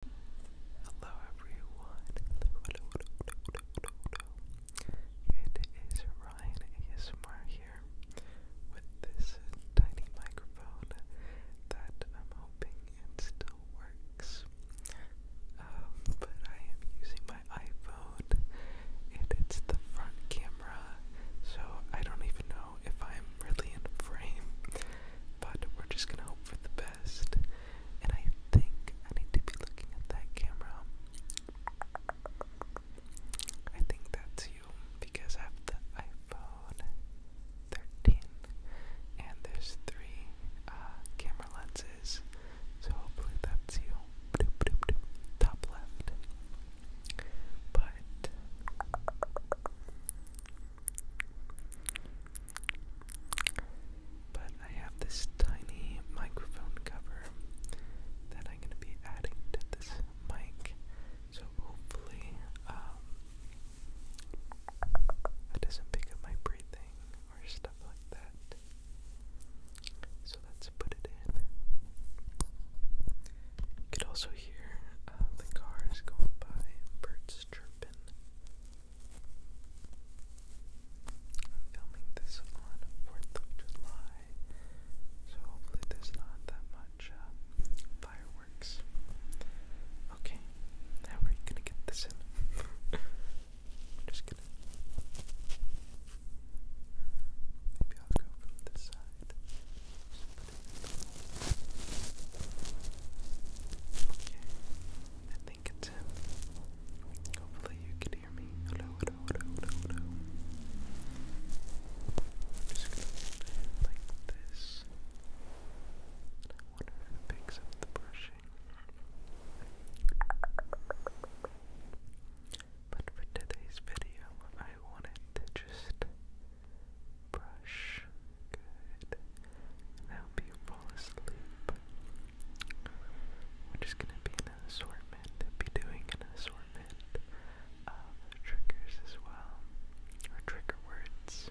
Hello everyone, hello, hello, It is Ryan here with this tiny microphone that I'm hoping it still works. Um, but I am using my iPhone and it's the front camera, so I don't even know if I'm really in frame, but we're just gonna hope for the best best. And I think I need to be looking at that camera. I think that's you because I have the iPhone 13 and there's three uh, camera lenses. So hopefully that's you. Doop, doop, doop. Top left. But but I have this tiny microphone cover that I'm going to be adding to this mic. So hopefully, um, it doesn't pick up my breathing or stuff like that. So let's put it in. You could also hear uh, the cars going by birds chirping. I'm filming this on 4th of July, so hopefully there's not that much um, fireworks. Okay, how are you gonna get this in? just going Maybe I'll go from this side. Okay. I think it's him. Hopefully you can hear me. Hello, hello, hello, hello, just gonna hold it like this. And I wonder if it up the brushing. But for today's video, I wanted to just brush good That'll help you fall asleep. We're just gonna be an assortment, be doing an assortment of triggers as well, or trigger words,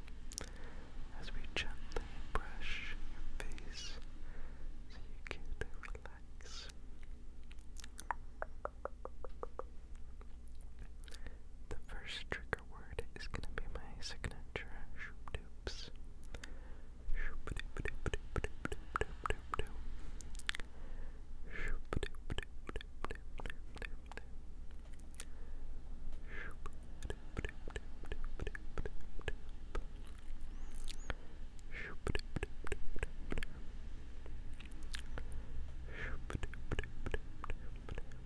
as we gently brush your face so you can relax. The first trigger word is going to be my signature shoop doops. Shoop doop doop doop doop doop doop doop doop. Shoop doop doop doop doop doop doop doop. Shoop doop doop doop doop doop doop doop. Shoop doop doop doop doop doop. Shoop doop doop doop doop doop.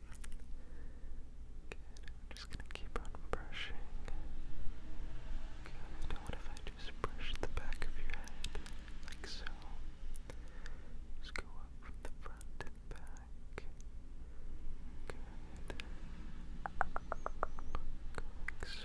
Good, i just gonna keep on brushing. what if I just brush the back of your head, like so? Just go up from the front back. Good. like so.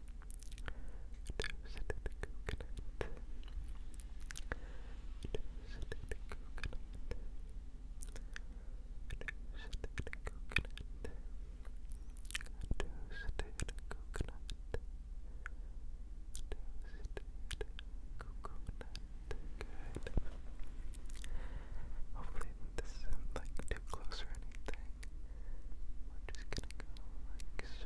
Toasted coconut. Toasted coconut. Toasted coconut. Toasted coconut. Toasted coconut. Good. Hopefully this isn't like too close or anything. We're just gonna go like so.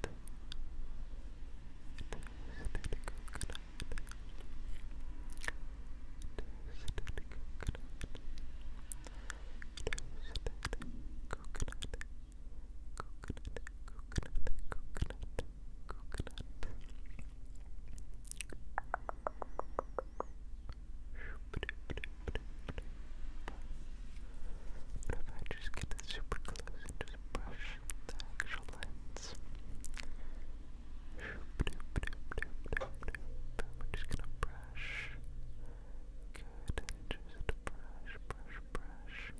But if I just get this super close and just brush the actual lens. We're just gonna brush. Good, just brush, brush, brush.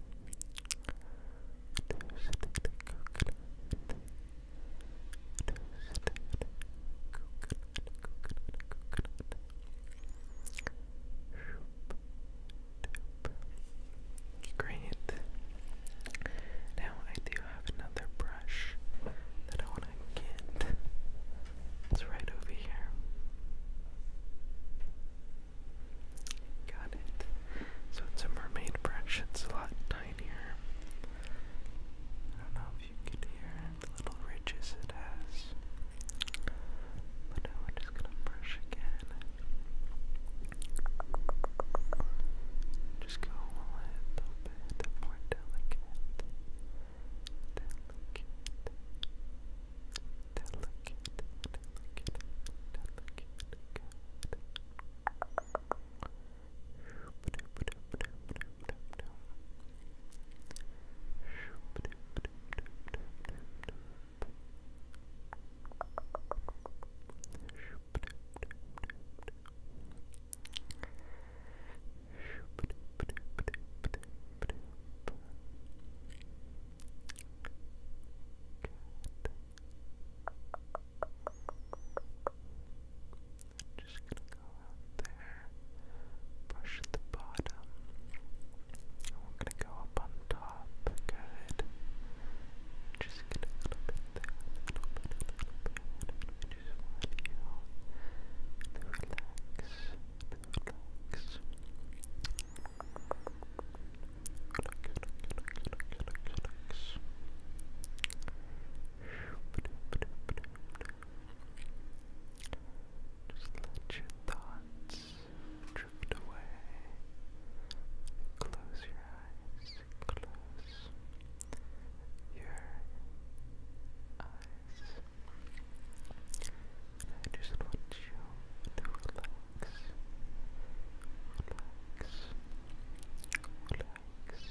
Great. Now I do have another brush that I want to get. It's right over here. Got it. So it's a mermaid brush. It's a lot tinier. I don't know if you could hear the little ridges it has. But now we're just gonna brush again. Just go a little bit more delicate, delicate, delicate, delicate, delicate. Good. Good just gonna go out there, brush the bottom, and we're gonna go up on top. Good. Just get a little bit there, a little bit, a little bit. We just want you to relax, relax. Relax, relax, relax, relax, relax. Just let your thoughts thoughts drift away. Close your eyes. Close your eyes. I just want you to relax. Relax. Relax. Relax.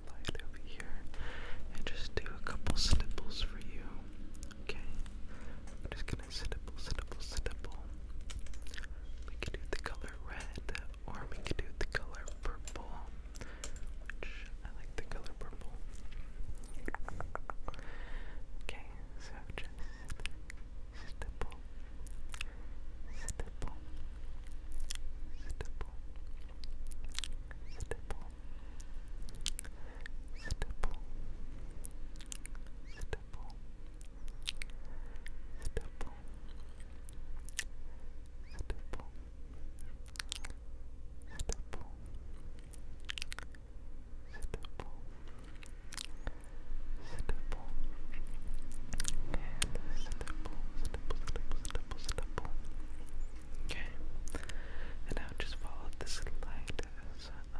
slide over here and just do a couple snipples for you. Okay? I'm just gonna snipple, snipple, snipple. We could do the color red or we could do the color purple. I like the color purple. Okay, so just stipple, stipple, stipple, stipple, stipple, stipple, stipple, stipple, stipple, stipple, stipple, and stipple, stipple, stipple, stipple, stipple. Okay, and now just follow this light as I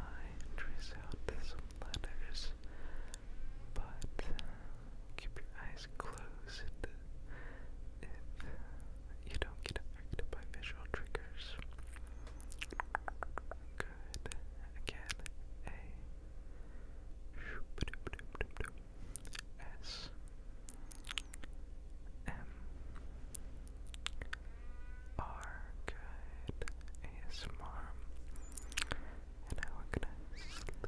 trace out these letters, but uh, keep your eyes closed if you don't get affected by visual triggers. Good. Again, A. S. M R Guide ASMR. And now we're gonna sleep,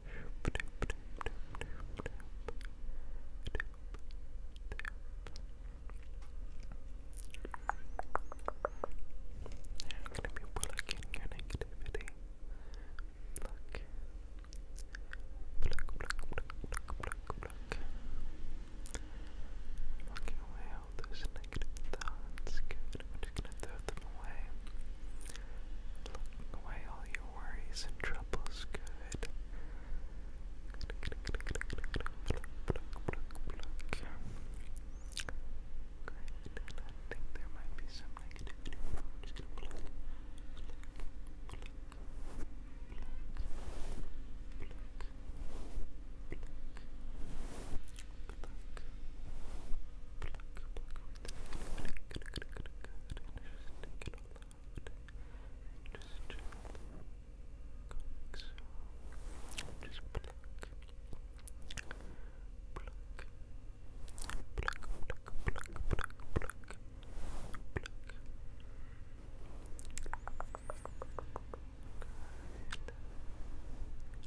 I'm going to be blocking your negativity. Block. Block, block, block, block, block, block. Blocking away all those negative thoughts. Good. Looking away all your worries and troubles. Good. there might be some negativity. Good, good, good, good. Just take it all out. Just gently. Like so. Just pluck. Pluck. Pluck, pluck, pluck, pluck, pluck. Pluck. Good. Just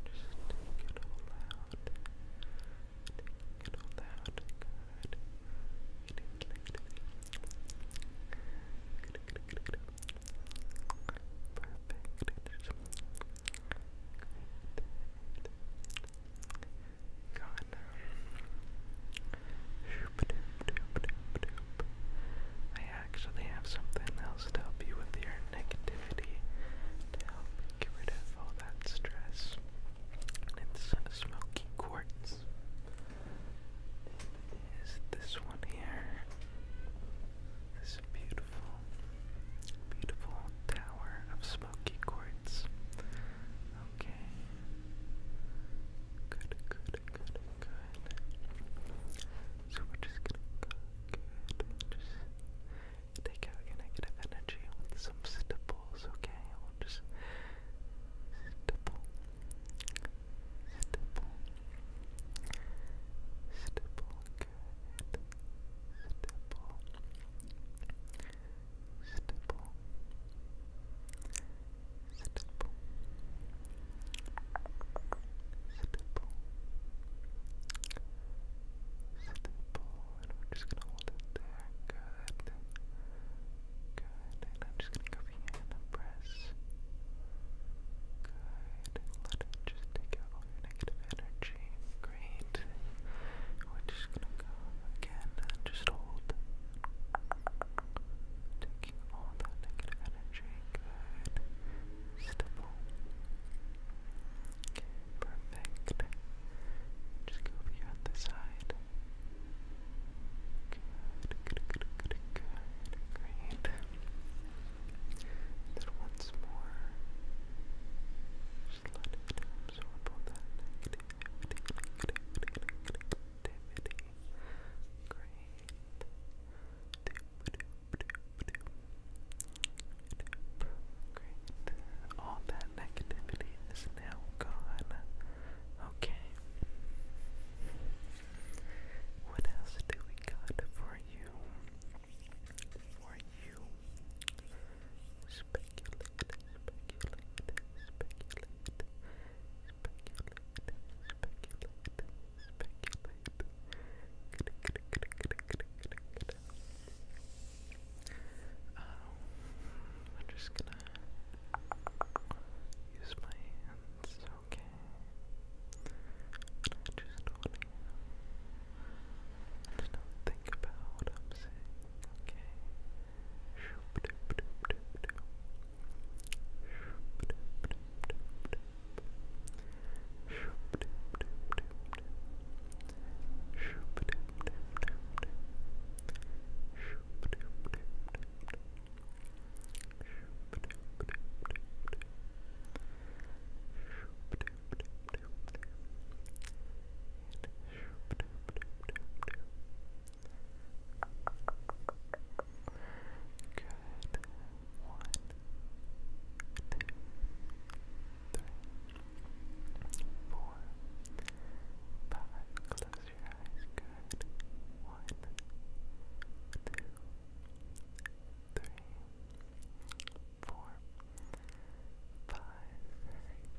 take it all out. Good. Get Perfect. Great. Gone. I actually have something else to help you with your negativity to help get rid of all that stress. And it's smoky quartz. It is this one here. This beautiful, beautiful tower of smoky quartz. Okay. Good, good, good, good. So we're just gonna go good take out your negative energy with some stiples, okay? I'll just stipple, stipple, stipple, good, stipple, stipple, stipple, stipple. Stipple, and we just gonna hold it there. Good. Good. And I'm just gonna go here and press. Good. Let it just take out all your negative energy. Great. We're just gonna go again and just hold. Taking all that negative energy. Good. Stipple. Okay. Perfect. Just go over here on the side. Good, good, good, good, good. Great. then once more, just let it absorb all that Great. Great. All that negativity is now gone. Okay. What else do we got for you? For you it. Um, I'm just gonna use my hands, okay? just wanna, just don't think about what I'm saying, okay? Good. One, two, three, four, five, close your eyes, good, one, two, three, four, five,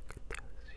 close your eyes,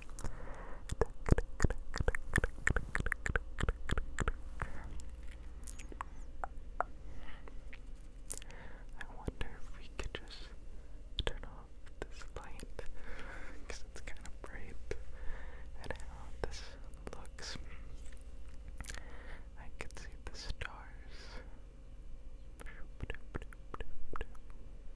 I wonder if we could just turn off this light it's kind of bright and how this looks. I could see the stars.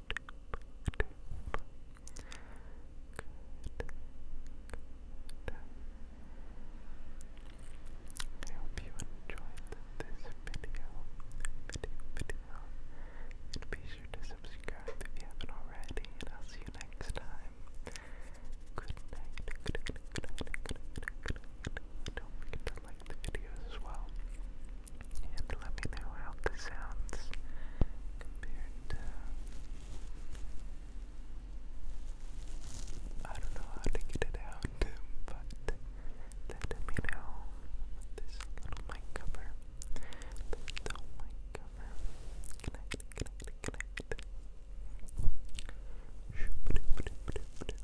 I hope you enjoyed this video, video, video, and be sure to subscribe if you haven't already, and I'll see you next time. Good night, good night, good night, good night, good night, Don't forget to like the video as well and let me know how this sounds I don't know how to get it out, but let me know this little mic cover. The little mic cover. Connect, connect, connect.